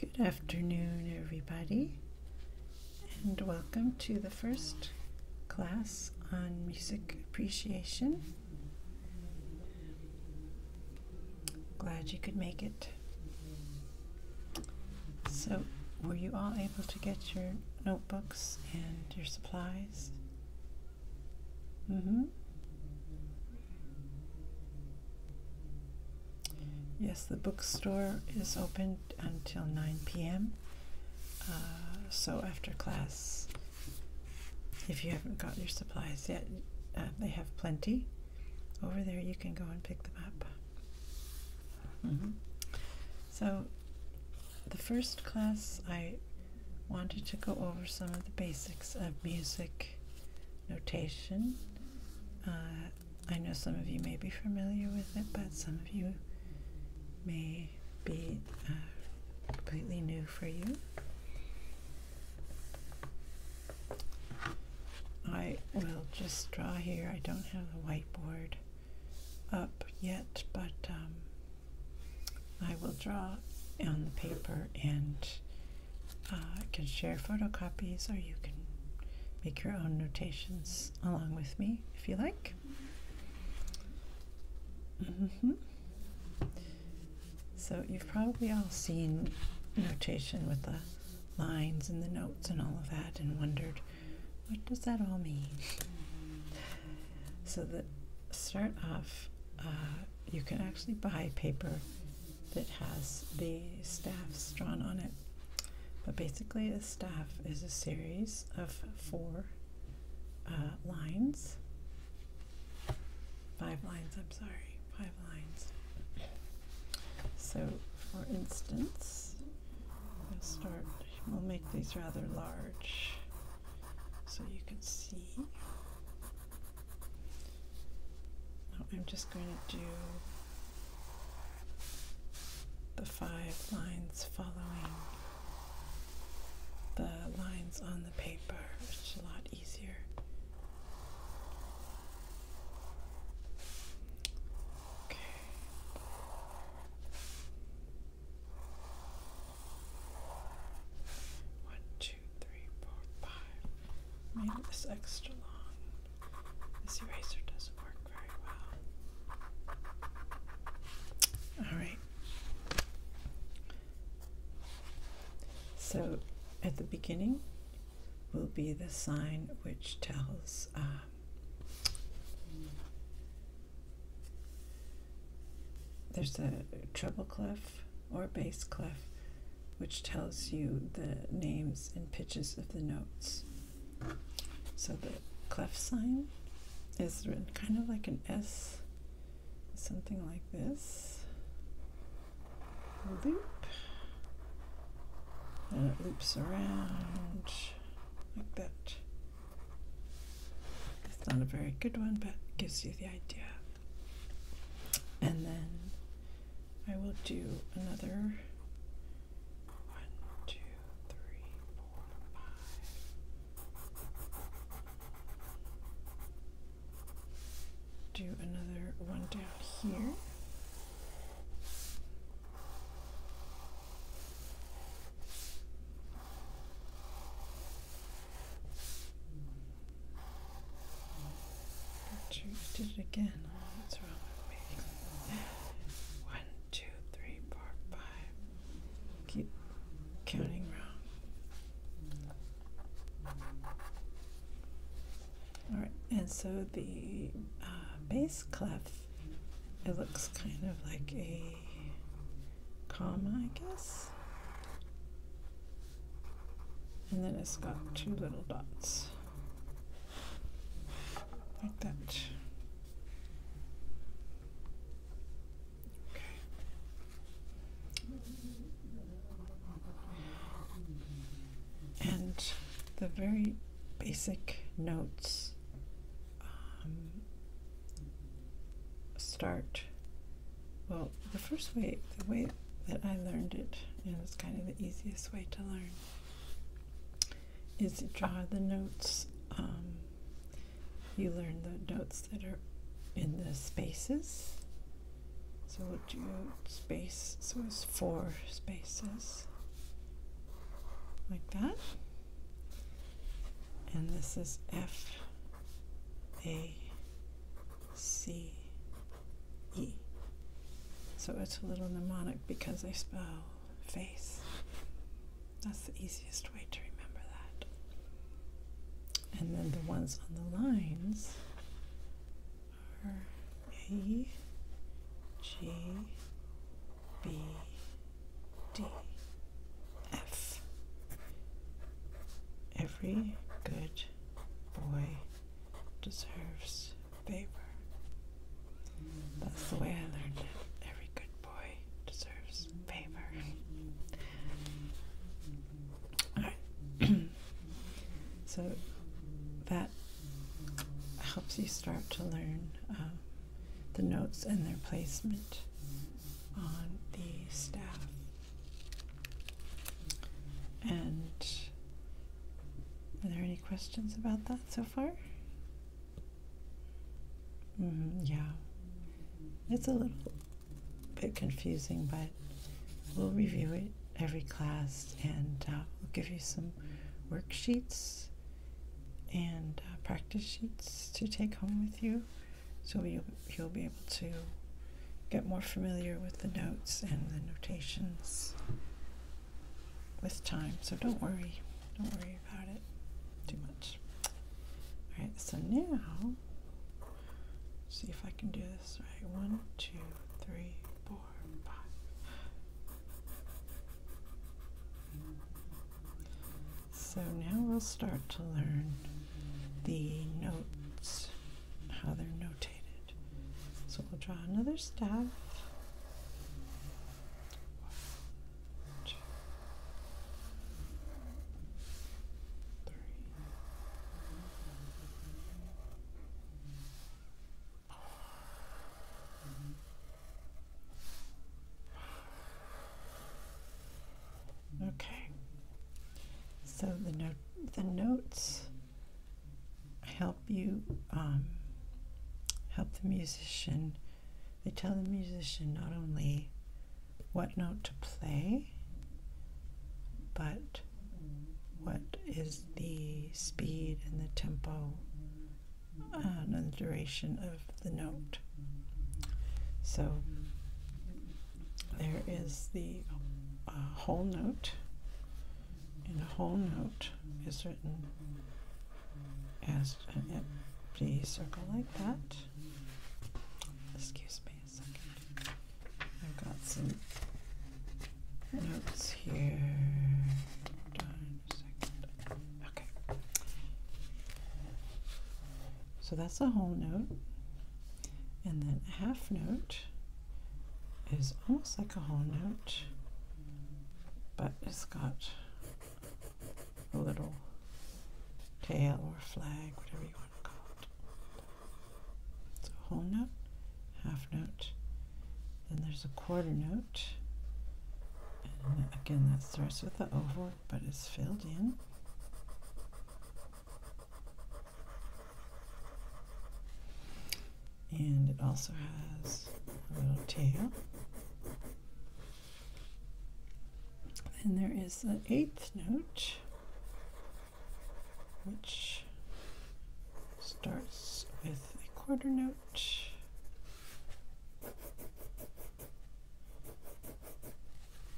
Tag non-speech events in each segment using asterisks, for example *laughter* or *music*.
Good afternoon, everybody, and welcome to the first class on music appreciation. Glad you could make it. So, were you all able to get your notebooks and your supplies? Mm-hmm. Yes, the bookstore is open until 9 p.m. Uh, so after class, if you haven't got your supplies yet, uh, they have plenty. Over there, you can go and pick them up. Mm -hmm. So, the first class, I wanted to go over some of the basics of music notation. Uh, I know some of you may be familiar with it, but some of you may be uh, completely new for you. I will just draw here. I don't have the whiteboard up yet, but um, I will draw on the paper and uh, can share photocopies or you can make your own notations along with me if you like. Mm-hmm. So you've probably all seen notation with the lines and the notes and all of that and wondered, what does that all mean? So the start off, uh, you can actually buy paper that has the staffs drawn on it. But basically, a staff is a series of four uh, lines, five lines, I'm sorry, five lines. So, for instance, we'll start, we'll make these rather large so you can see. I'm just going to do the five lines following the lines on the paper, which is a lot easier. Okay. One, two, two, three, four, five. Maybe this extra long. This eraser doesn't work very well. Alright. So at the beginning will be the sign which tells um, there's a treble clef or bass clef, which tells you the names and pitches of the notes. So the clef sign is written kind of like an S, something like this. Loop. And it loops around like that. It's not a very good one, but gives you the idea. And then I will do another one, two, three, four, five. Do another one down here. Cheers, did it again. Oh, what's wrong with me? One, two, three, four, five. Keep counting wrong. All right, and so the uh, bass clef, it looks kind of like a comma, I guess and then it's got two little dots like that. Okay. And the very basic notes um, start. Well, the first way, the way that I learned it, and it's kind of the easiest way to learn, is draw the notes. Um, you learn the notes that are in the spaces. So we'll do space, so it's four spaces, like that. And this is F, A, C, E. So it's a little mnemonic because I spell face. That's the easiest way to remember that. And then the ones on the lines are A, G, B, D, F. Every good boy deserves favor. That's the way I learned it. Every good boy deserves favor. Alright. *clears throat* so that helps you start to learn um, the notes and their placement on the staff. And are there any questions about that so far? Mm -hmm, yeah. It's a little bit confusing, but we'll review it every class and uh, we'll give you some worksheets and uh, practice sheets to take home with you so you, you'll be able to get more familiar with the notes and the notations with time. So don't worry, don't worry about it too much. All right, so now, see if I can do this right. One, two, three, four, five. So now we'll start to learn the notes, how they're notated. So we'll draw another staff. Okay. So the note the notes help you um, help the musician. They tell the musician not only what note to play, but what is the speed and the tempo uh, and the duration of the note. So there is the uh, whole note, and whole note is written as uh, an empty circle like that. Excuse me a second. I've got some notes here. Okay. So that's a whole note, and then a half note is almost like a whole note, but it's got a little tail or flag, whatever you want to call it. So whole note, half note, then there's a quarter note, and again that starts with the oval, but it's filled in. And it also has a little tail. And there is an eighth note, which starts with a quarter note.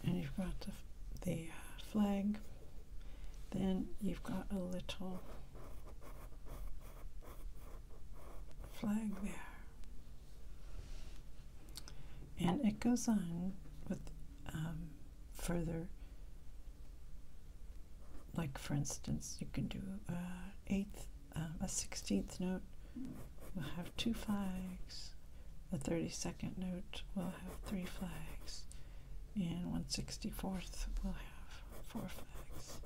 And you've got the, the flag. Then you've got a little flag there. And it goes on with um, further, like for instance, you can do a uh, eighth, uh, a sixteenth note will have two flags. a 32nd note will have three flags and 164th will have four flags.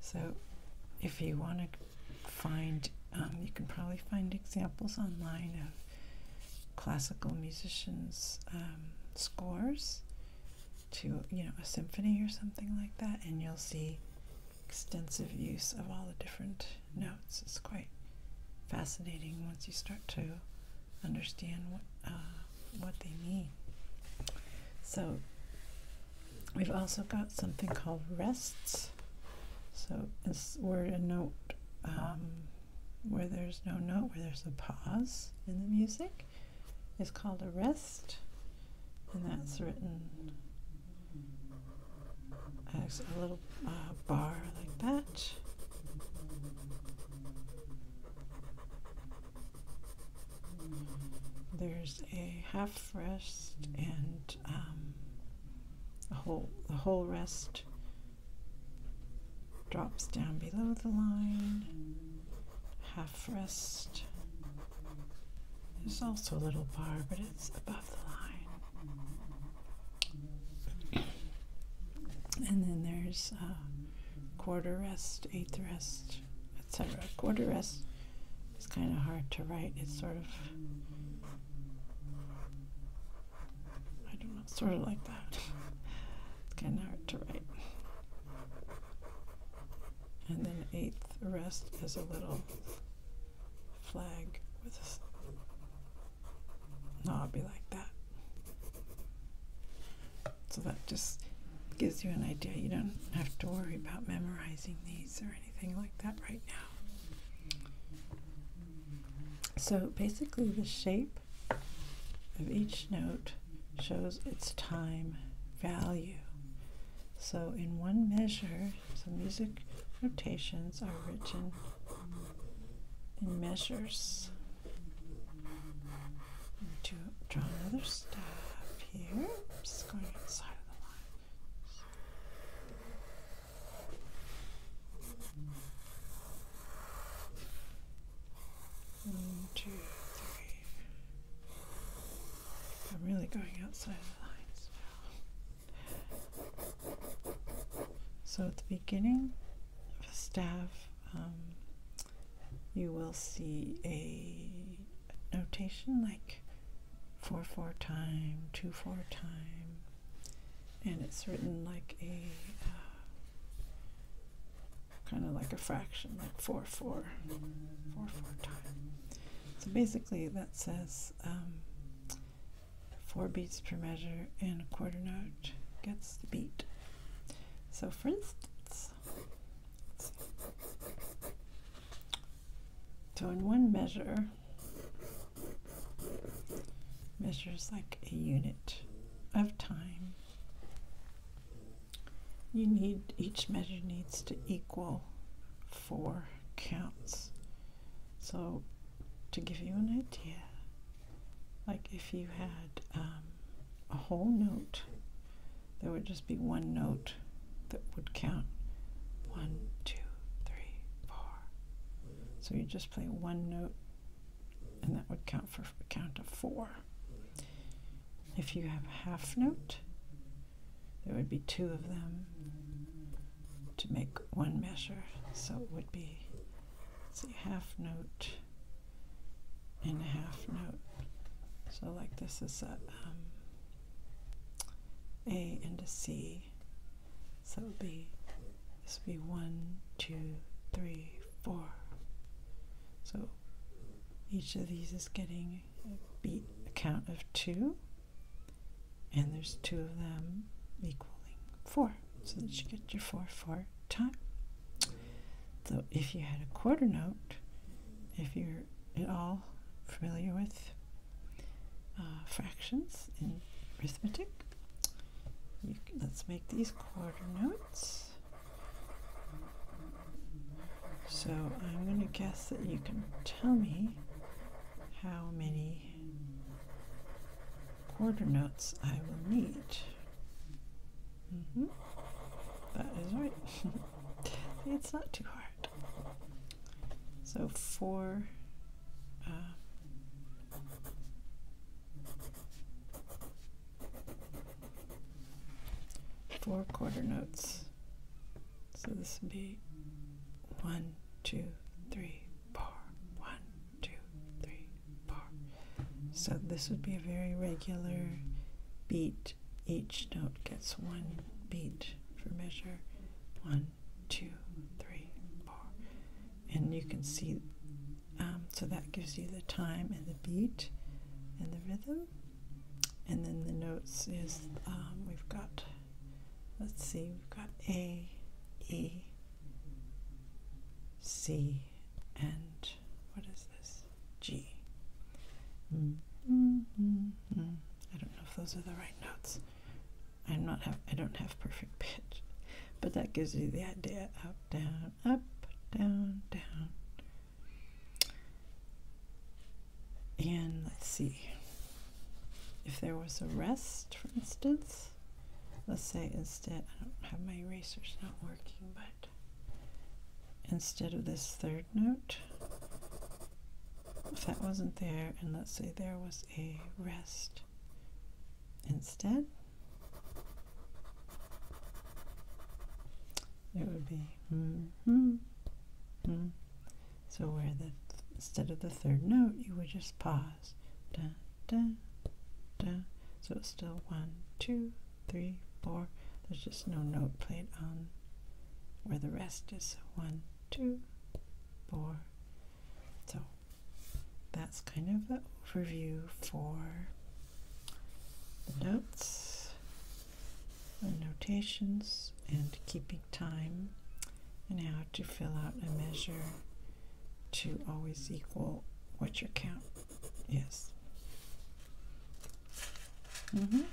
So if you want to find, um, you can probably find examples online of classical musicians' um, scores to, you know, a symphony or something like that, and you'll see extensive use of all the different notes. It's quite fascinating once you start to understand what. Uh, what they mean. So we've also got something called rests. So it's where a note, um, where there's no note, where there's a pause in the music, is called a rest, and that's written as a little uh, bar like that. There's a half rest and um, whole the whole rest drops down below the line. Half rest. There's also a little bar, but it's above the line. And then there's uh, quarter rest, eighth rest, etc. Quarter rest is kind of hard to write. It's sort of, I don't know, sort of like that. it's kind of hard to write. And then eighth rest is a little flag with a knob like that. So that just gives you an idea. You don't have to worry about memorizing these or anything like that right now. So basically the shape of each note shows its time value. So in one measure, so music notations are written in measures to draw another staff here. Just going inside of the line. One, two, three. I'm really going outside of the lines now. So at the beginning of a staff, um, you will see a notation like 4 4 time, 2 4 time, and it's written like a uh, kind of like a fraction, like 4 4, time. So basically, that says um, 4 beats per measure and a quarter note gets the beat. So, for instance, so in one measure, measures like a unit of time. You need, each measure needs to equal four counts. So to give you an idea, like if you had um, a whole note, there would just be one note that would count. One, two, three, four. So you just play one note and that would count for a count of four. If you have a half note, there would be two of them to make one measure. So it would be, see, half note, and a half note. So like this is a um, A and a C. So it would be this would be one, two, three, four. So each of these is getting a beat count of two, and there's two of them equaling four. So that you get your four four time. So if you had a quarter note, if you're at all familiar with uh, fractions in arithmetic, let's make these quarter notes. So I'm going to guess that you can tell me how many quarter notes I will need. Mm-hmm. That is right. *laughs* it's not too hard. So four. Uh, four quarter notes. So this would be One, two, three, four. So this would be a very regular beat each note gets one beat for measure. One, two, three, four. And you can see, um, so that gives you the time and the beat and the rhythm. And then the notes is um, we've got, let's see, we've got A, E, C, and what is this? G. don't know if those are the right notes. I'm not have I don't have perfect pitch, but that gives you the idea. Up, down, up, down, down. And let's see. If there was a rest, for instance, let's say instead I don't have my erasers not working, but instead of this third note. If that wasn't there, and let's say there was a rest instead, it would be mm -hmm, mm. So where the instead of the third note, you would just pause. So it's still one, two, three, four. There's just no note played on where the rest is. One, two, four. So that's kind of the overview for the notes, the notations, and keeping time, and how to fill out a measure to always equal what you count Yes. Mm -hmm.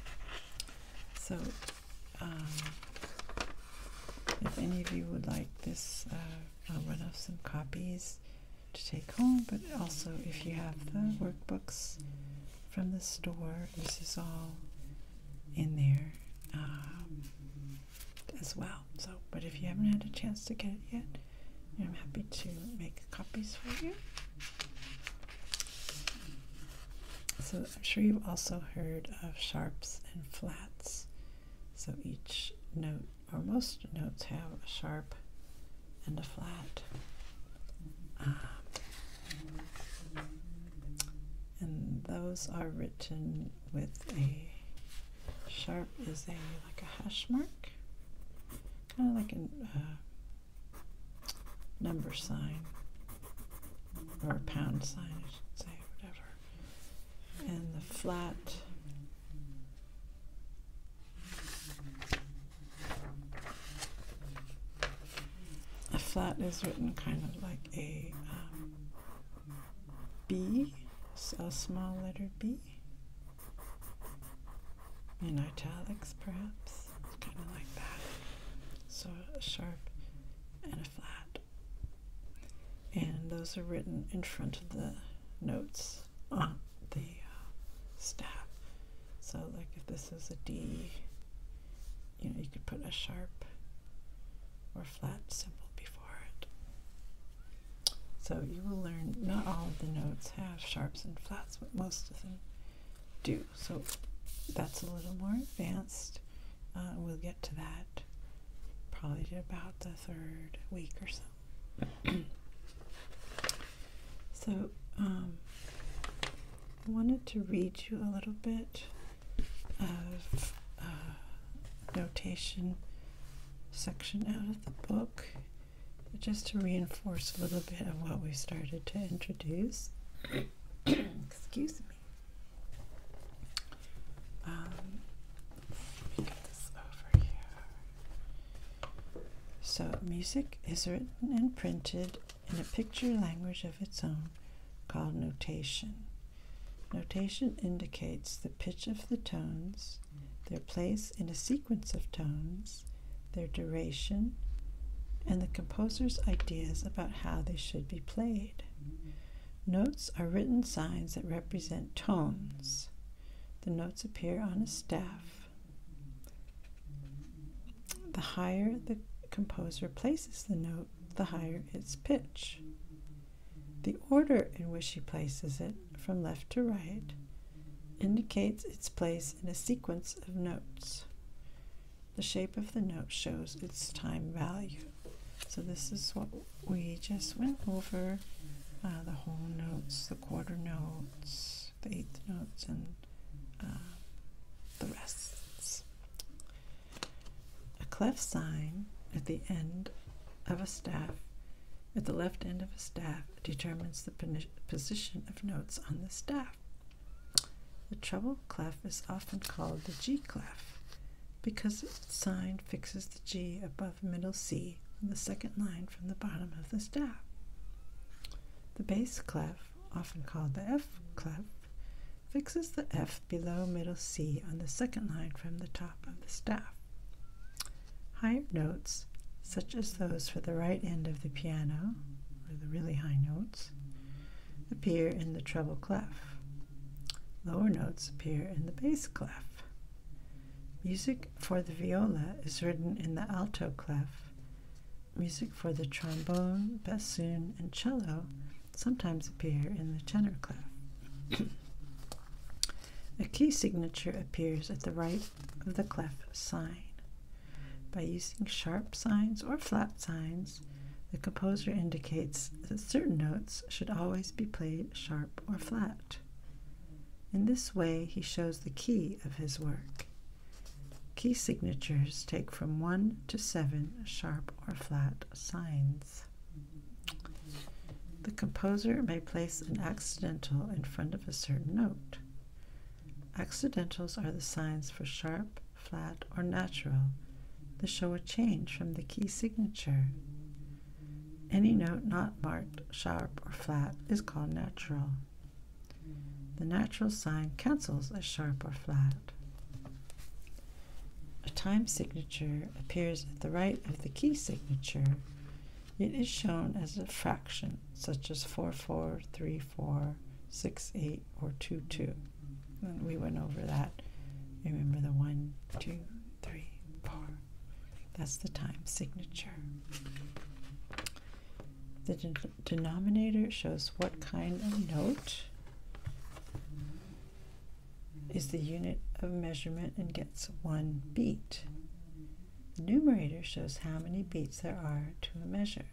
So, um, if any of you would like this, uh, I'll run off some copies to take home, but also if you have the workbooks from the store, this is all in there uh, as well. So, but if you haven't had a chance to get it yet, I'm happy to make copies for you. So I'm sure you've also heard of sharps and flats. So each note, or most notes, have a sharp and a flat. Ah. and those are written with a sharp is a like a hash mark, kind of like a number sign or pound sign, I should say, whatever. And the flat. A flat is written kind of like a um, B, a small letter B, in italics perhaps kind of like that. So a sharp and a flat. And those are written in front of the notes on the uh, staff. So like if this is a D, you know, you could put a sharp or flat symbol before it. So you will learn not all of the notes have sharps and flats, but most of them do. So that's a little more advanced. Uh, we'll get to that probably about the third week or so. *clears throat* so I um, wanted to read you a little bit of uh, notation section out of the book just to reinforce a little bit of what we started to introduce, *coughs* excuse me. Um, let me get this over here. So, music is written and printed in a picture language of its own called notation. Notation indicates the pitch of the tones, their place in a sequence of tones, their duration, and the composer's ideas about how they should be played. Notes are written signs that represent tones. The notes appear on a staff. The higher the composer places the note, the higher its pitch. The order in which he places it, from left to right, indicates its place in a sequence of notes. The shape of the note shows its time value. So this is what we just went over, uh, the whole notes, the quarter notes, the eighth notes, and uh, the rests. A clef sign at the end of a staff, at the left end of a staff, determines the position of notes on the staff. The treble clef is often called the G clef because its sign fixes the G above middle C on the second line from the bottom of the staff. The bass clef, often called the F clef, fixes the F below middle C on the second line from the top of the staff. Higher notes, such as those for the right end of the piano, or the really high notes, appear in the treble clef. Lower notes appear in the bass clef. Music for the viola is written in the alto clef. Music for the trombone, bassoon, and cello sometimes appear in the tenor clef. *coughs* A key signature appears at the right of the clef sign. By using sharp signs or flat signs, the composer indicates that certain notes should always be played sharp or flat. In this way, he shows the key of his work. Key signatures take from one to seven sharp or flat signs. The composer may place an accidental in front of a certain note. Accidentals are the signs for sharp, flat, or natural that show a change from the key signature. Any note not marked sharp or flat is called natural. The natural sign cancels a sharp or flat. A time signature appears at the right of the key signature. It is shown as a fraction, such as 4434 four, six, eight, or two, two. we went over that. Remember the one, two, three, four. That's the time signature. The denominator shows what kind of note is the unit of measurement and gets one beat. The numerator shows how many beats there are to a measure.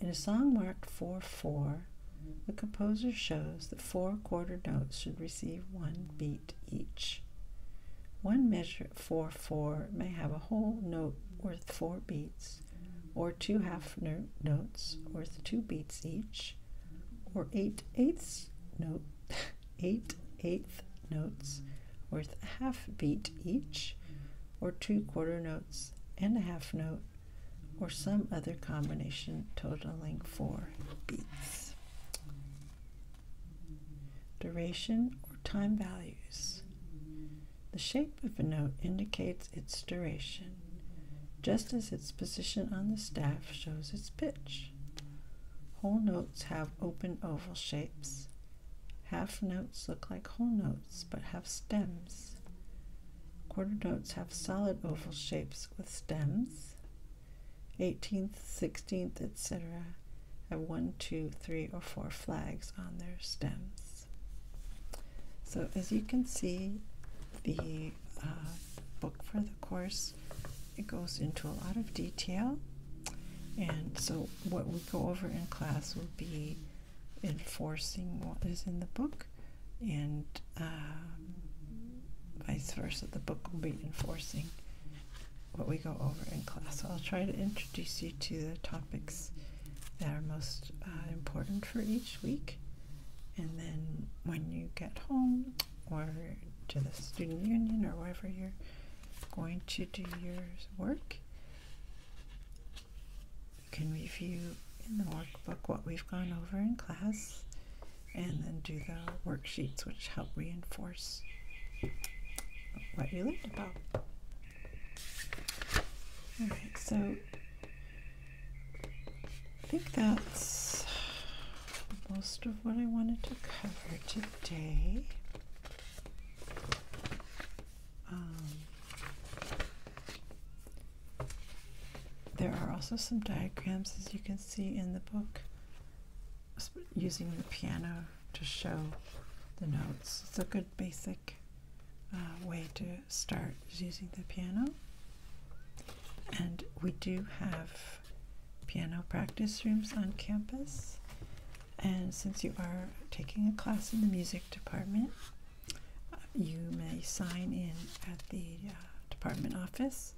In a song marked 4 4, the composer shows that four quarter notes should receive one beat each. One measure 4 4 may have a whole note worth four beats, or two half no notes worth two beats each, or eight eighths note, *laughs* eight eighth notes worth a half beat each, or two quarter notes and a half note, or some other combination totaling four beats. Duration or time values. The shape of a note indicates its duration, just as its position on the staff shows its pitch. Whole notes have open oval shapes, Half notes look like whole notes but have stems. Quarter notes have solid oval shapes with stems. 18th, 16th, etc. have one, two, three, or four flags on their stems. So as you can see, the uh, book for the course, it goes into a lot of detail. And so what we go over in class will be enforcing what is in the book, and um, vice versa. The book will be enforcing what we go over in class. So I'll try to introduce you to the topics that are most uh, important for each week, and then when you get home or to the student union or wherever you're going to do your work. You can review in the workbook what we've gone over in class and then do the worksheets which help reinforce what you learned about. All right, so I think that's most of what I wanted to cover today. Um, there are also some diagrams, as you can see in the book, using the piano to show the notes. It's a good basic uh, way to start using the piano. And we do have piano practice rooms on campus. And since you are taking a class in the music department, you may sign in at the uh, department office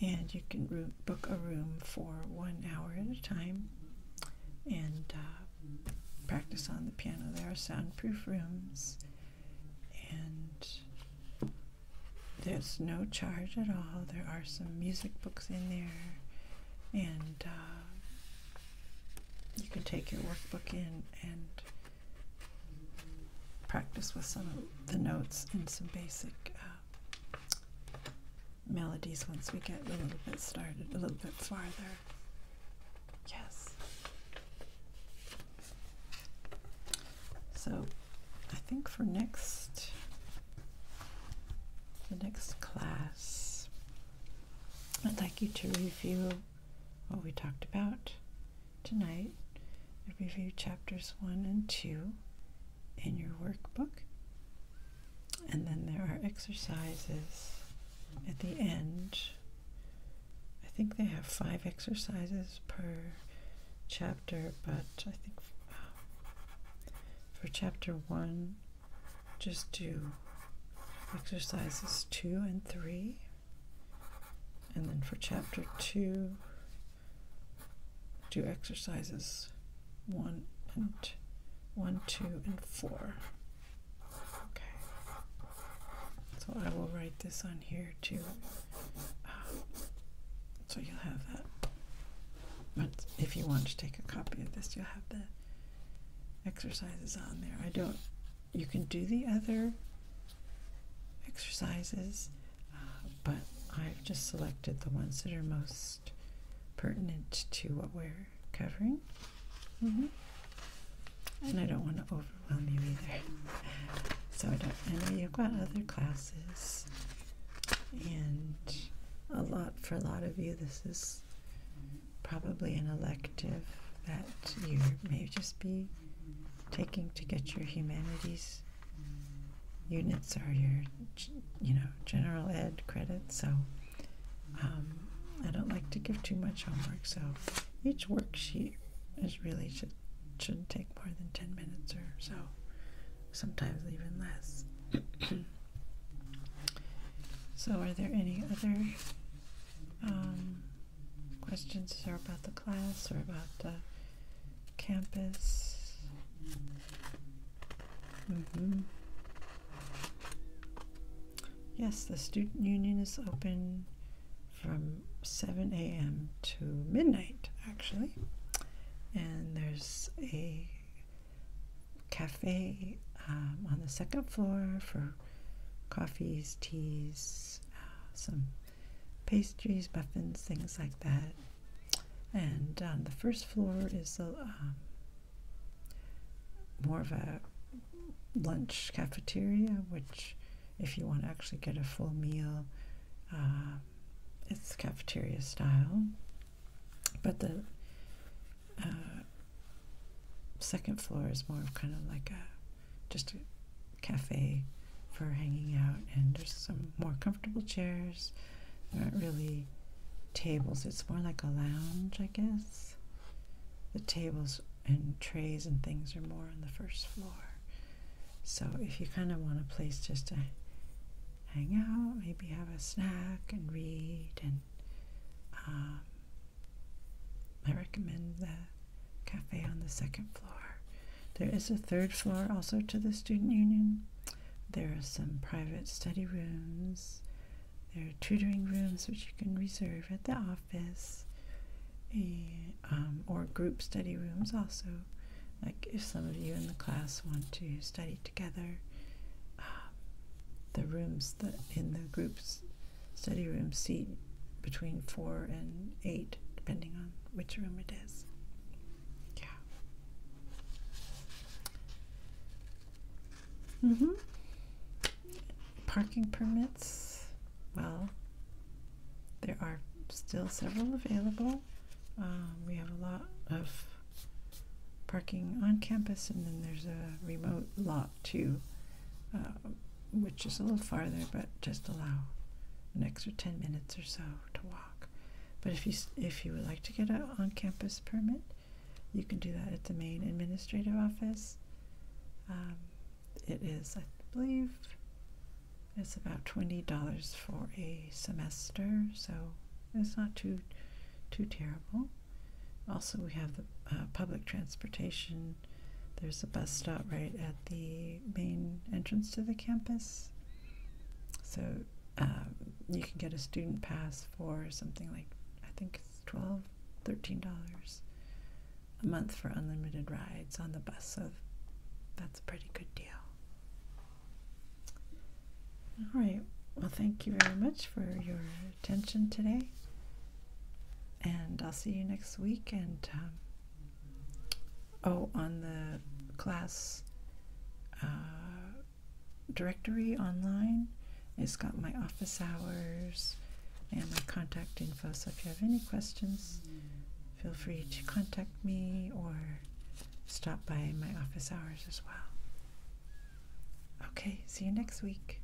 and you can room, book a room for one hour at a time and uh, practice on the piano. There are soundproof rooms and there's no charge at all. There are some music books in there and uh, you can take your workbook in and practice with some of the notes and some basic uh, melodies once we get a little bit started, a little bit farther. Yes. So I think for next, the next class, I'd like you to review what we talked about tonight. review chapters 1 and 2 in your workbook. And then there are exercises at the end. I think they have five exercises per chapter, but I think uh, for chapter 1, just do exercises two and three. And then for chapter two, do exercises one and one, two, and four. Okay. So I will write this on here too. Ah. so you'll have that. But if you want to take a copy of this, you'll have the exercises on there. I don't you can do the other exercises, uh, but I've just selected the ones that are most pertinent to what we're covering. Mm-hmm. And I don't want to overwhelm you either. *laughs* So I, don't, I know you've got other classes, and a lot for a lot of you, this is probably an elective that you may just be taking to get your humanities units or your you know general ed credits. so um, I don't like to give too much homework so each worksheet is really should should take more than 10 minutes or so sometimes even less *coughs* so are there any other um, questions are about the class or about the campus. Mm-hmm. Yes, the student union is open from 7 a.m. to midnight, actually. And there's a cafe um, on the second floor for coffees, teas, uh, some pastries, muffins, things like that. And um, the first floor is uh, um, more of a lunch cafeteria, which, if you want to actually get a full meal, uh, it's cafeteria style. But the uh, second floor is more kind of like a just a cafe for hanging out, and just some more comfortable chairs. not really tables, it's more like a lounge, I guess. The tables and trays and things are more on the first floor. So if you kind of want a place just to hang out, maybe have a snack and read and um, I recommend the cafe on the second floor. There is a third floor also to the student union. There are some private study rooms. There are tutoring rooms which you can reserve at the office, um, or group study rooms also. Like if some of you in the class want to study together, um, the rooms that in the groups study room seat between four and eight, depending on which room it is. Yeah. hmm Parking permits, well, there are still several available. Um, we have a lot of parking on campus, and then there's a remote lot too. Um, which is a little farther, but just allow an extra 10 minutes or so to walk. But if you, if you would like to get an on-campus permit, you can do that at the main administrative office. Um, it is, I believe, it's about twenty dollars for a semester, so it's not too too terrible. Also, we have the uh, public transportation there's a bus stop right at the main entrance to the campus. So um, you can get a student pass for something like I think it's 12 $13 a month for unlimited rides on the bus. So that's a pretty good deal. All right. Well, thank you very much for your attention today and I'll see you next week. And um, oh, on the class uh, directory online, it's got my office hours and my contact info. So if you have any questions, feel free to contact me or stop by my office hours as well. Okay, see you next week.